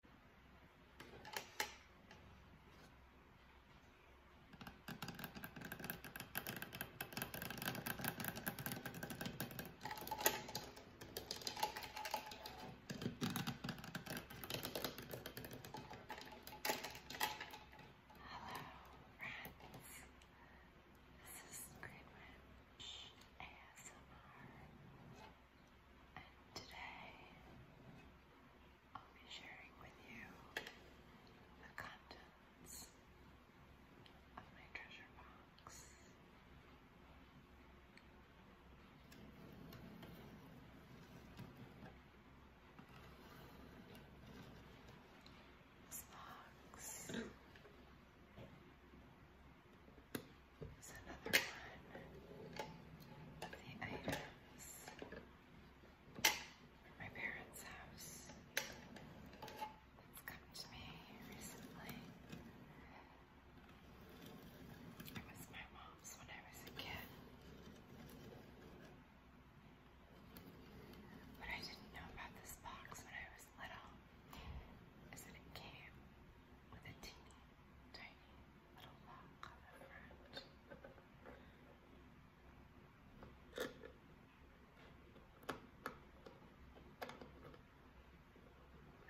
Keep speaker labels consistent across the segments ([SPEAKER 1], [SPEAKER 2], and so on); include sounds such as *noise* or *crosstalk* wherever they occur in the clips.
[SPEAKER 1] This is Green Witch ASMR and today I'll be sharing with you the contents of my treasure box. This box *clears throat* is another one of the items from my parents' house. It's come to me recently. It was my mom's when I was a kid. What I didn't know about this box when I was little is that it came with a teeny tiny little long colored fruit.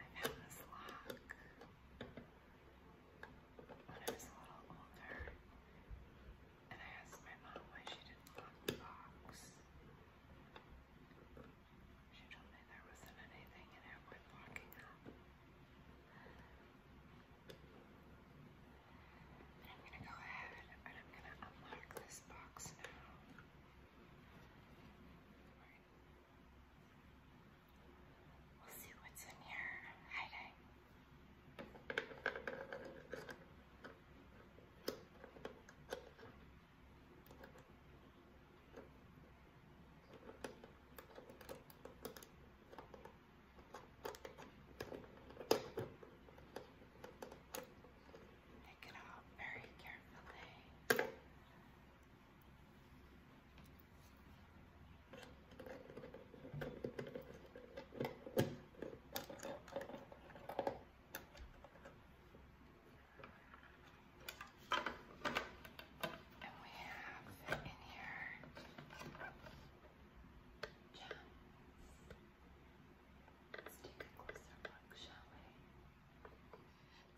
[SPEAKER 1] I found this lock when I was a little older, and I asked my mom why she didn't lock the box. She told me there wasn't anything in it worth locking up. I'm gonna go ahead and I'm gonna unlock this box now. We'll see what's in here hiding. Pick it up very carefully. And we have in here gems. Let's take a closer look, shall we?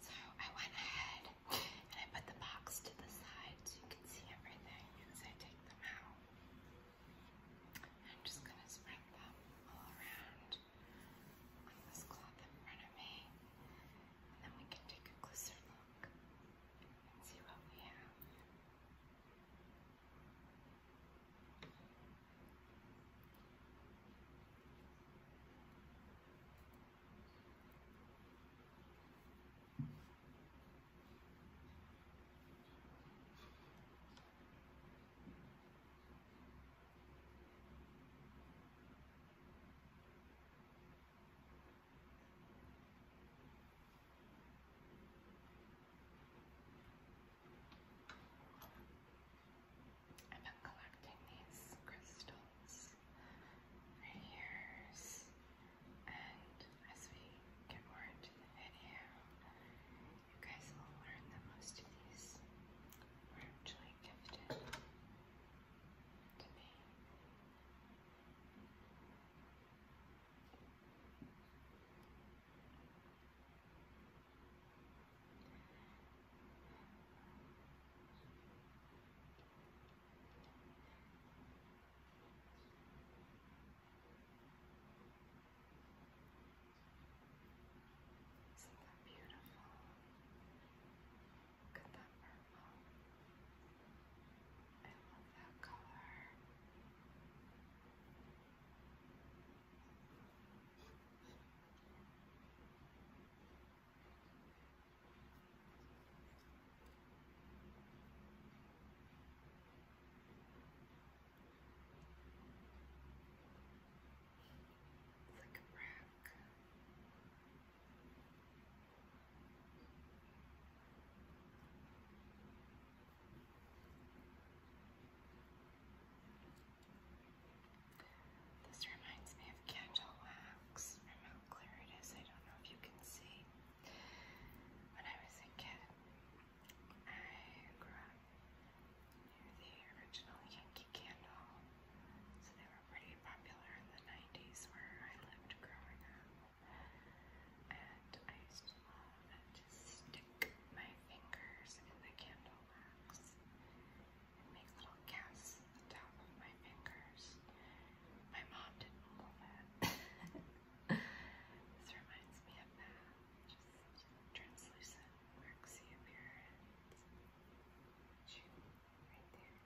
[SPEAKER 1] So I went ahead and I put the box to the side so you can see everything as I take them out. I'm just gonna spread them all around on this cloth in front of me and then we can take a closer look and see what we have. I've been collecting these crystals for years, and as we get more into the video, you guys will learn that most of these were actually gifted to me. Isn't that beautiful? Look at that purple. I love that color. Look at that. This reminds me of candle wax from how I don't know if you can see. When I was a kid, I grew up near the original Yankee Candle. So they were pretty popular in the 90s where I lived growing up. And I used to love to stick my fingers in the candle wax and make little casts at the top of my fingers. My mom didn't love that. *laughs* this reminds me of that. Just translucent, waxy appearance. Right there.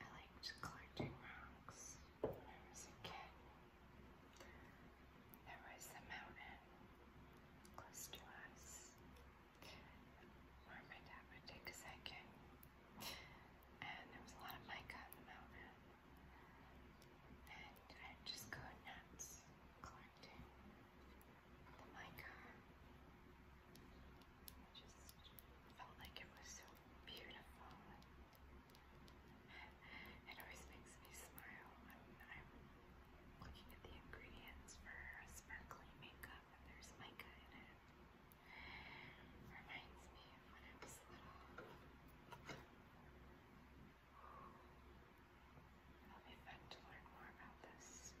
[SPEAKER 1] I liked collecting rocks when I was a kid. There was a mountain close to us where my dad would take us hiking, and there was a lot of mica on the mountain. And I'd just go nuts collecting the mica just felt like it was so beautiful. *laughs* It always makes me smile I'm looking at the ingredients for sparkly makeup and there's mica in it. Reminds me of when I was little. It'll be fun to learn more about this experiment.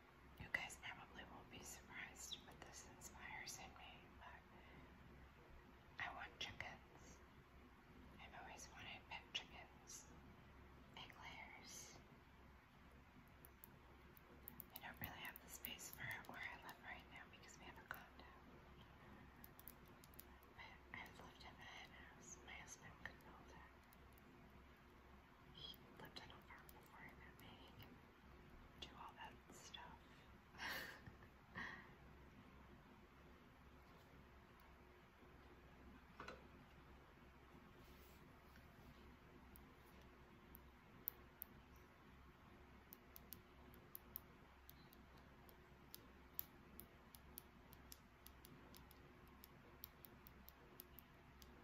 [SPEAKER 1] You guys probably won't be surprised what this inspires in me, but I want chickens. I've always wanted pet chickens, egg layers. I don't really have the space for it where I live right now because we have a condo. But I've lived in the hen house. My husband could build it. He lived on a farm before I met me. He can do all that stuff.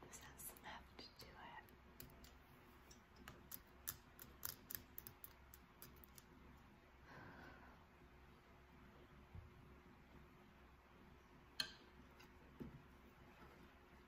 [SPEAKER 1] This has left to it.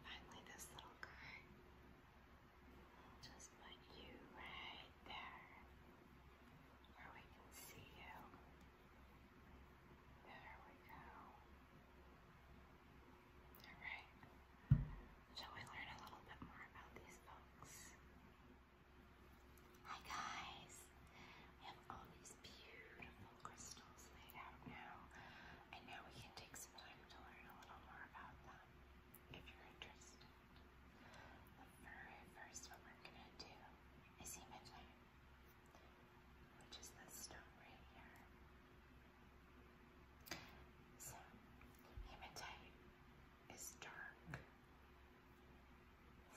[SPEAKER 1] Finally, this little guy. just put you right there where we can see you. There we go. Alright, shall we learn a little bit more about these folks? Hi guys! We have all these beautiful crystals laid out now, and now we can take some time to learn a little more about them if you're interested. The very first one we're going to do is hematite, which is this stone right here. So, hematite is dark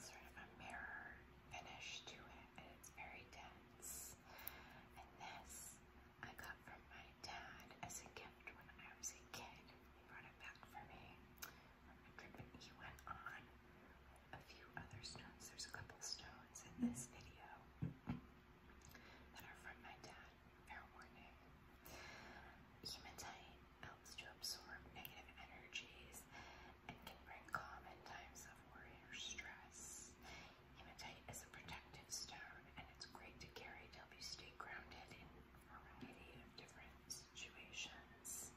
[SPEAKER 1] sort of a mirror finish to it, it's very dense. And this I got from my dad as a gift when I was a kid. He brought it back for me from a trip that he went on with a few other stones. There's a couple stones in this video that are from my dad. Fair warning. Hematite helps to absorb negative energies and can bring calm in times of worry or stress. Hematite is a protective stone, and it's great to carry to you stay grounded in a variety of different situations.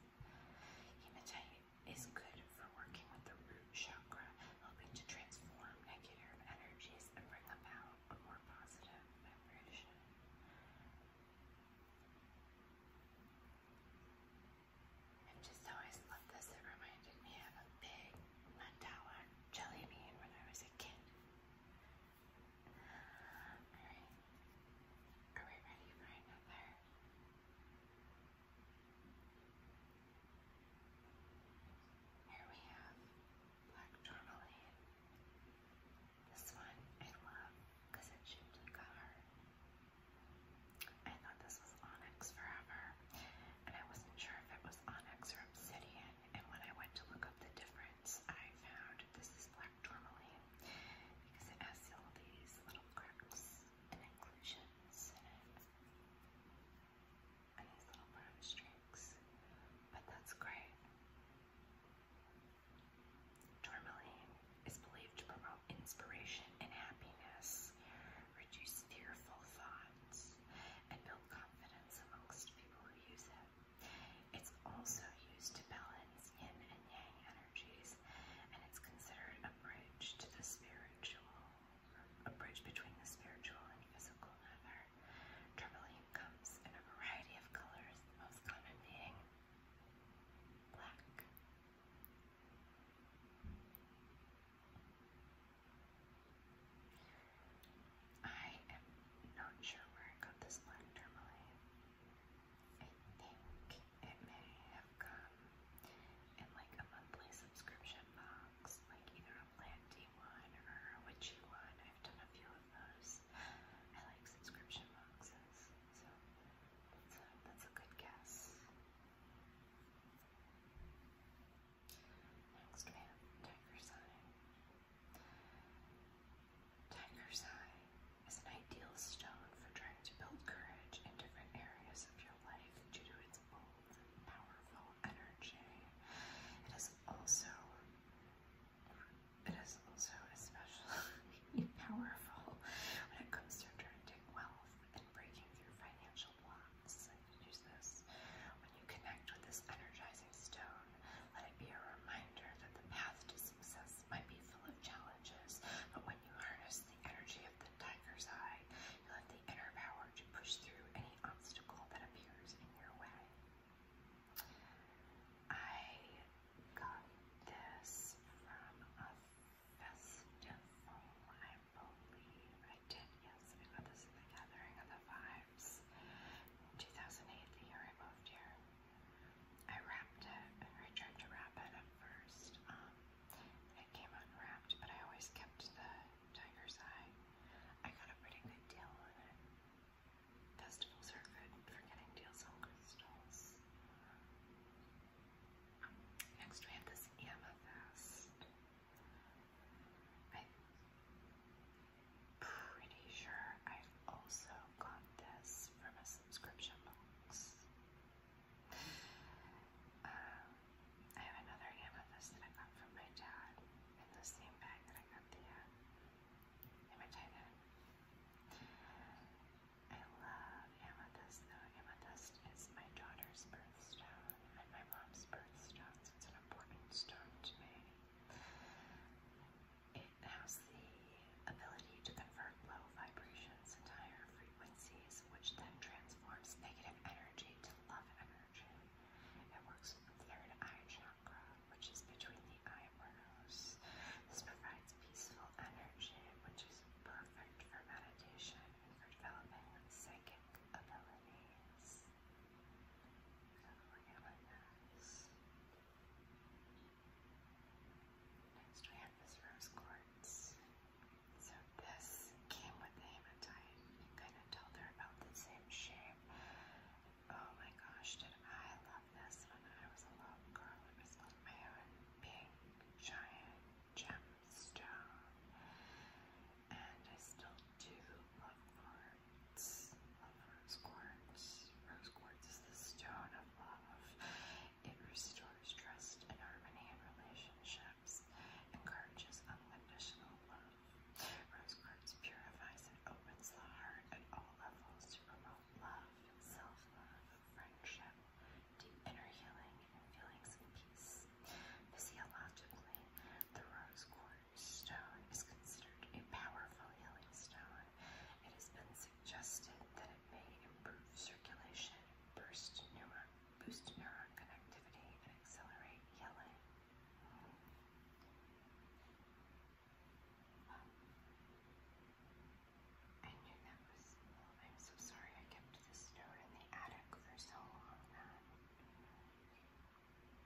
[SPEAKER 1] Hematite is good for working with the root chakra, helping to transform negative energies and bring about a more positive vibration. I've just always loved this. It reminded me of a big mandala jelly bean when I was a kid. Alright. Are we ready for another? Here we have black tourmaline. This one I love because it shaped like a heart. I thought this was Onyx Forever, and I wasn't sure if it was Onyx or Obsidian. And when I went to look up the difference, I found this is black tourmaline because it has all these little cracks and inclusions in it, and these little brown streaks. But that's great. Tourmaline is believed to promote inspiration and happiness, reduce fearful thoughts, and build confidence amongst people who use it. It's also used to balance yin and yang energies, and it's considered a bridge to the spiritual, a bridge between the spiritual and physical nether. Tourmaline comes in a variety of colors, the most common being black, I am not sure where I got this black tourmaline. I think it may have come in like a monthly subscription box, like either a planty one or a witchy one. I've done a few of those. I like subscription boxes, so that's a, that's a good guess. Next we Tiger's Eye. Tiger's Eye is an ideal stone for trying to build courage in different areas of your life due to its bold powerful energy. It is also it is also especially *laughs* powerful when it comes to attracting wealth and breaking through financial blocks. Use this. When you connect with this energizing stone, let it be a reminder that the path to success might be full of challenges, but when you harness the energy of the tiger's eye, you have the inner power to push through any obstacle that appears in your way. I got this from Festival, oh, I believe. I did, yes. I got this at the Gathering of the Vibes in 2008, the year I moved here. I wrapped it, or I tried to wrap it at first. Um, it came unwrapped, but I always kept the tiger's eye. I got a pretty good deal on it. Festivals are good for getting deals on crystals. Next we have this amethyst. I'm pretty sure I've also got this from a subscription box. Um, I have another amethyst that I got from my dad in the same bag that I got the uh, I love amethyst though. Amethyst is my daughter's birthstone and my mom's birthstone, so it's an important stone to me. It has the ability to convert low vibrations into higher frequencies, which then transforms negative energy to love energy. It works with the third eye chakra, which is between the eye eyebrows. This provides peaceful energy, which is perfect for meditation for developing psychic abilities. So Next we have this rose quartz. So this came with the hematite. You kind of tell they're about the same shape. Oh my gosh, did I love this when I was a little girl. It was on my own pink giant gem stone. And I still do love quartz. rose quartz. Rose quartz is the stone of love. It restores trust and harmony in relationships. Encourages unconditional love. Rose quartz purifies and opens the heart at all levels to promote love, self-love, friendship, deep inner healing, feelings of peace. Physiologically, the rose quartz stone is considered a powerful healing stone. It has been suggested that it may improve circulation, boost neuron, boost neuron connectivity, and accelerate healing. Oh, I'm so sorry I kept this note in the attic for so long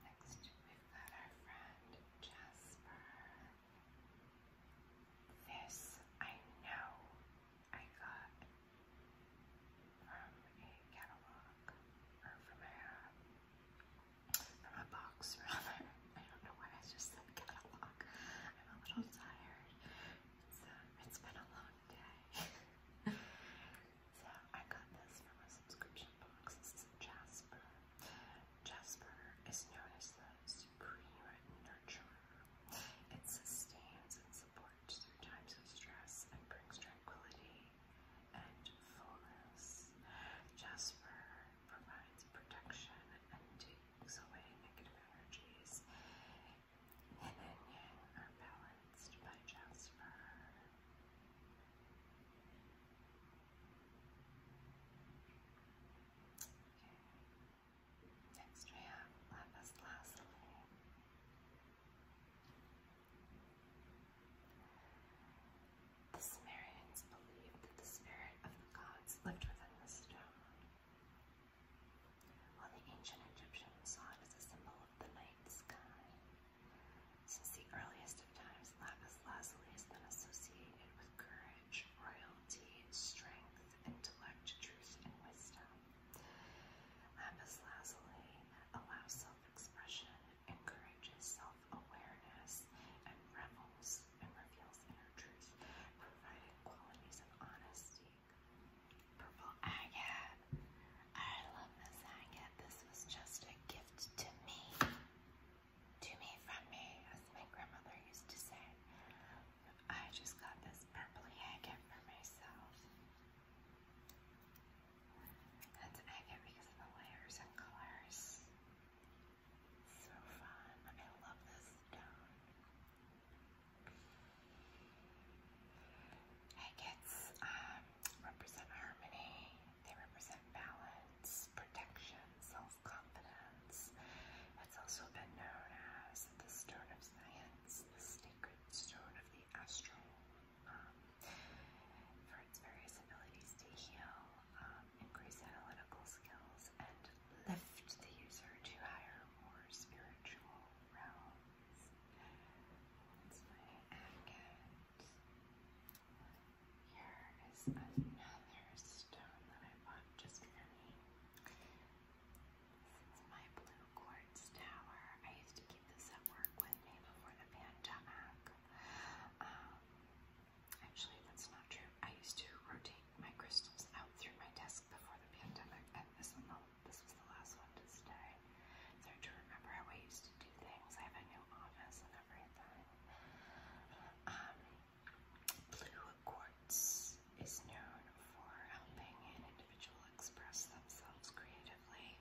[SPEAKER 1] Next, we've got our friend Jasper. This I know I got from a catalog or from a from a box *laughs* rather. I don't know why I just said catalog. I'm a little tired. It's, uh, it's been a long one day. *laughs* so I got this from a subscription box. This is Jasper. Jasper is known as the supreme nurturer. It sustains and supports through times of stress and brings tranquility and fullness. Jasper provides protection and takes away negative energies. Women Are Balanced by Jasper. Next we have Lapis Lazuli. The Sumerians believed that the spirit of the gods lived within the stone. While the ancient Egyptians saw it as a symbol of the night sky. Since the earliest of times, lapis lazuli has been associated with courage, royalty, strength, intellect, truth, and wisdom. Lapis lazuli allows self-expression, encourages self-awareness, and revels and reveals inner truth, providing qualities of honesty, Purple agate. I love this agate. This was just a gift to me. To me from me, as my grandmother used to say. I just got this purple agate for myself. That's agate because of the layers and colors. So fun. I love this stone. It um, represents harmony, they represent balance, protection, self-confidence. It's also been known as the stone of science, the sacred stone of the astral, um, for its various abilities to heal, um, increase analytical skills, and lift the user to higher, more spiritual realms. Here is another stone that I bought just for me. This my blue quartz tower. I used to keep this at work with me before the pandemic. actually, that's not true. I used to rotate my crystals out through my desk before the pandemic, and this one, this was the last one to stay. So to remember how I used to do things, I have a new office and everything. Um, blue quartz is known for helping an individual express themselves creatively,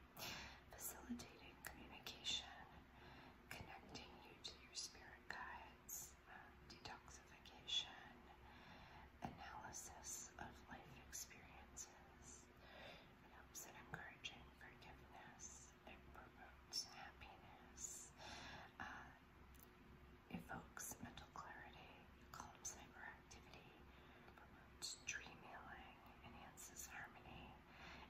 [SPEAKER 1] facilitating communication, connecting you to your spirit guides, um, detoxification, analysis of life experiences, it helps in encouraging forgiveness. It promotes happiness. Uh, evokes mental clarity, calms hyperactivity, promotes dream healing, enhances harmony,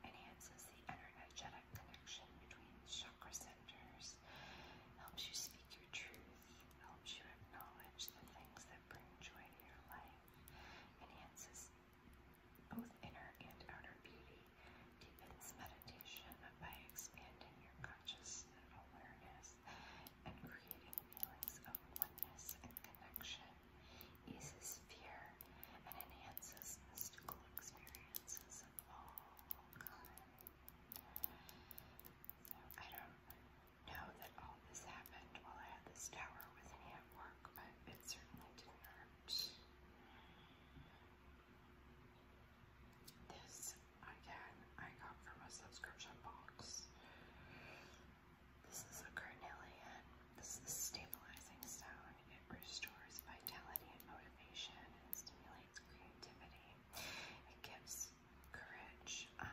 [SPEAKER 1] enhances the energetic connection between chakra centers, helps you speak your truth, helps you acknowledge the things that bring joy to your life, enhances both inner and outer beauty, deepens meditation by expanding your conscious awareness and creating feelings of oneness and connection, eases fear, and enhances mystical experiences of all kinds. I don't know that all this happened while I had this tower with me at work, but it certainly didn't hurt. This, again, I got from a subscription box. This is a carnelian. This is a stabilizing stone. It restores vitality and motivation and stimulates creativity. It gives courage um,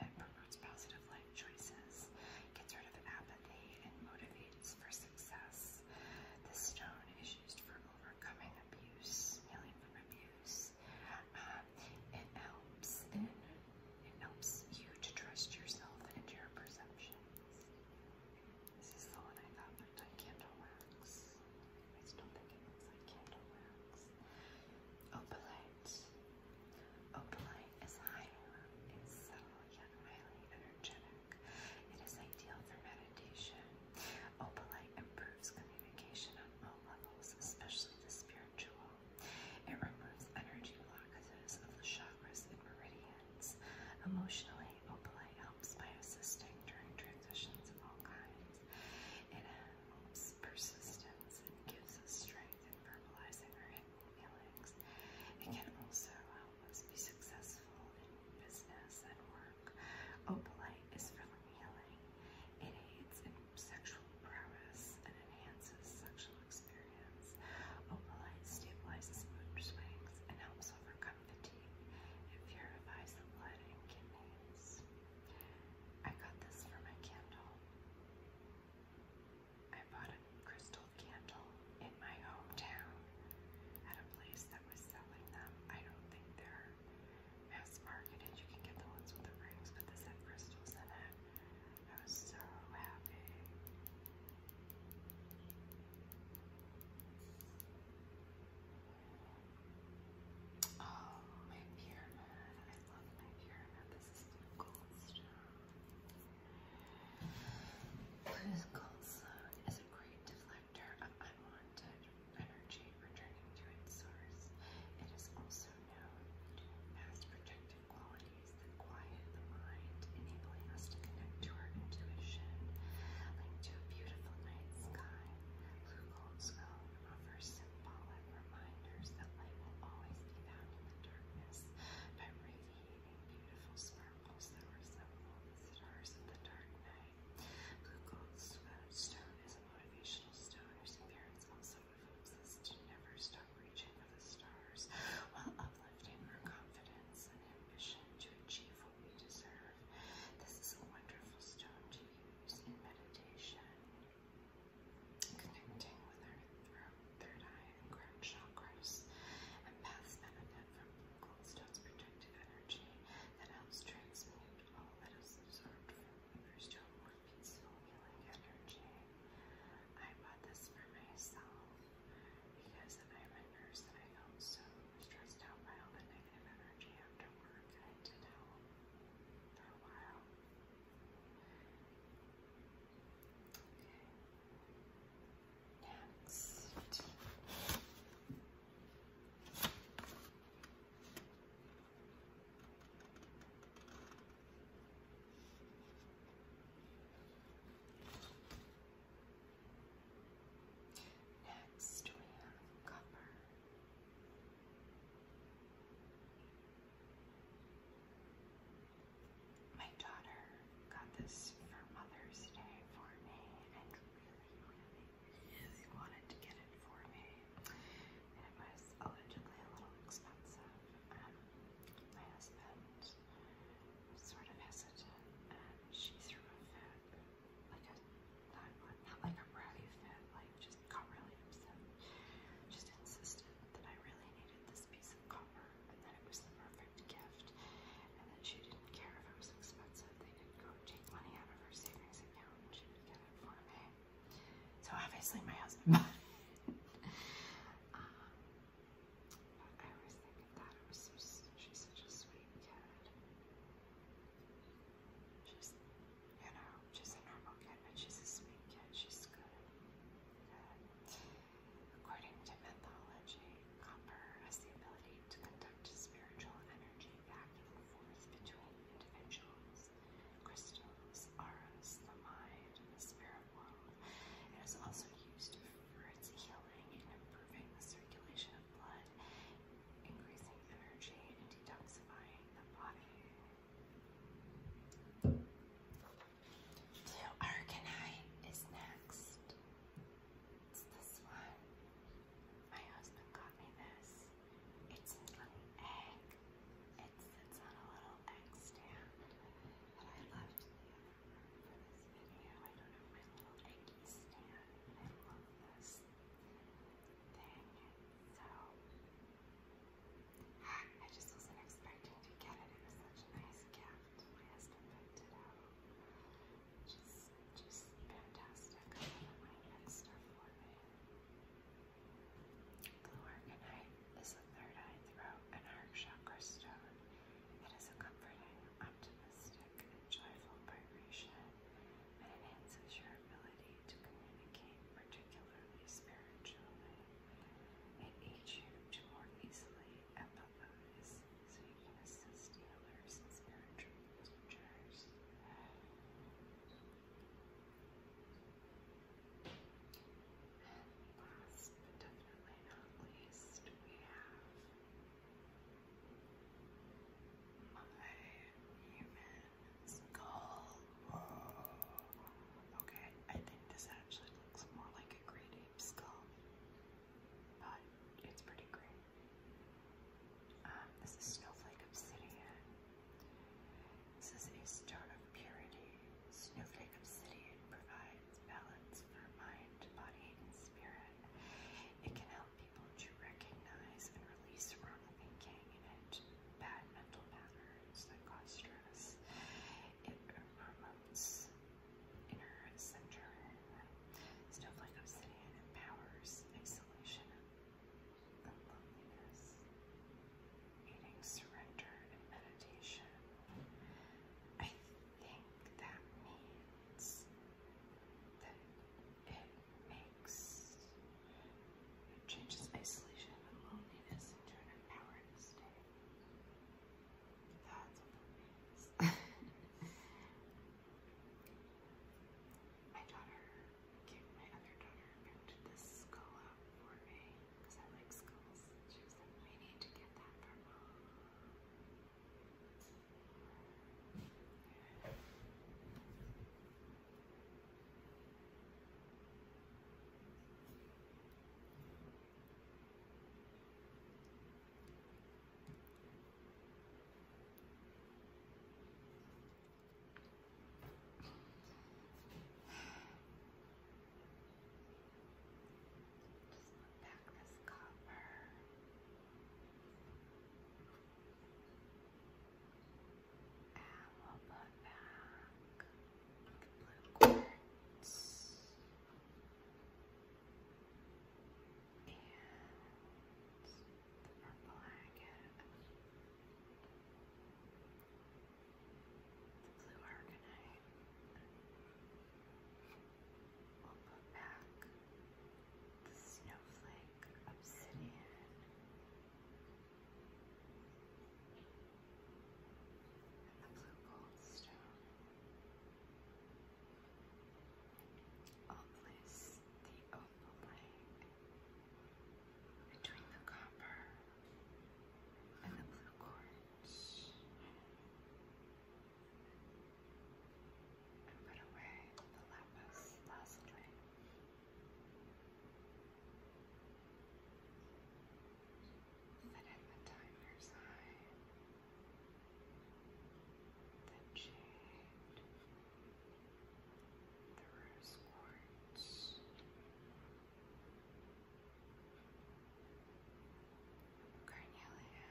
[SPEAKER 1] it promotes positive life choices, gets rid of apathy, and motivates for success. This stone is used for overcoming abuse, healing from abuse. Um, it helps it helps you to trust yourself and your perceptions. This is the one I thought looked like candle wax. I still think it looks like candle wax. Opalite. Opalite is higher in subtle yet highly energetic. It is ideal for meditation. Opalite improves communication on all levels, especially the spiritual. It removes energy blockages of the chakras and meridians. Emotionally, opalite helps by assisting during transitions of all kinds. It helps persistence and gives us strength feelings and verbalizing our hidden feelings. It can also help us be successful in business and work. Opalite is for healing. It aids in sexual prowess and enhances sexual experience. Opalite stabilizes mood swings and helps overcome fatigue. It purifies the blood and kidneys. I got this for my candle. I bought a crystal candle in my hometown at a place that was selling them. I don't think they're mass marketed. You can get the ones with the rings, but this had crystals in it. I was so happy. Oh, my pyramid. I love my pyramid. This is blue gold stone. Cortiscol's goldstone is a great deflector of unwanted energy returning to its source. It is also known to as protective qualities that quiet the mind, enabling us to connect to our intuition, like to a beautiful night sky. Blue gold offers symbolic reminders that light will always be found in the darkness beautiful sparkles that resemble the stars in the dark night. Blue goldstone is a motivational stone whose appearance also evokes to never stop reaching for the stars while uplifting our confidence and ambition to achieve what we deserve. This is a wonderful stone to use in meditation connecting with our third eye, and crown chakras, and paths benefit from Goldstone's protective energy that helps transmute all that is absorbed from others to a more peaceful, healing energy. I bought this for myself because I'm a nurse and I felt so stressed out by all the negative energy after work. I did help for a while. Okay. Next. Next, we have copper. My daughter got this for Mother's Day for me and really, really, really wanted to get it for me. And it was allegedly a little expensive. Um, my husband was sort of hesitant and she threw a fit. Like a, not, not like a bratty fit, like just got really upset. Just insisted that I really needed this piece of copper, and that it was the perfect gift, and that she didn't care if it was expensive. They didn't go take money out of her savings account, and she would get it for me. So obviously, my husband *laughs* bought it. um, but I always think of that. It was so, she's such a sweet kid. She's, you know, she's a normal kid, but she's a sweet kid. She's good. good. According to mythology, copper has the ability to conduct spiritual energy back and forth between individuals, crystals, auras, the mind, and the spirit world. It is also used for its healing and improving the circulation of blood, increasing energy, and detoxifying the body. Blue Arcanite is next. It's this one. My husband got me this. It's a little egg. It sits on a little egg stand. But I left the for this video. I don't have my little eggy stand. I love this thing. So, I just wasn't expecting to get it. It such a nice gift. Just, just fantastic. I love my extra forehead. Blue Arcanite is a third eye throat and heart chakra stone. It is a comforting, optimistic, and joyful vibration and enhances your ability to communicate, particularly spiritually. It aids you to more easily and so you can assist healers and spiritual teachers. And last but definitely not least, we have my human skull. Okay, I think this actually looks more like a greedy deep skull, but it's pretty great. Um, this is Snowflake Obsidian. This is a stone of purity. Snowflake Obsidian provides balance for mind, body, and spirit. It can help people to recognize and release wrong thinking and bad mental patterns that cause stress. It promotes inner center. Snowflake obsidian empowers isolation loneliness, aiding surrender and meditation. I think that means that it makes changes isolation and loneliness into an empowered state my daughter my other daughter picked this skull up for me because I like skulls. She was like, we need to get that for mom. Put back this copper. And we'll put back the blue quartz and the purple agate, the blue arcanite. We'll the snowflake obsidian. And the blue gold I'll place the opal light between the copper and the blue quartz, and put away the lapis lazuli. Fit in the timer's eye the jade, the rose quartz, carnelia,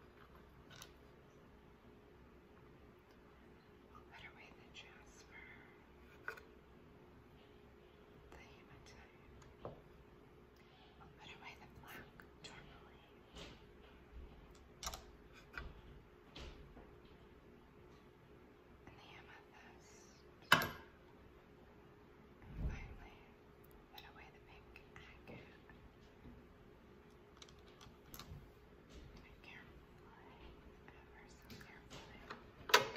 [SPEAKER 1] I'll put away jasper, the hematite. I'll put away the black tourmaline. And the amethyst. finally, put away the pink agate. And carefully, ever so carefully,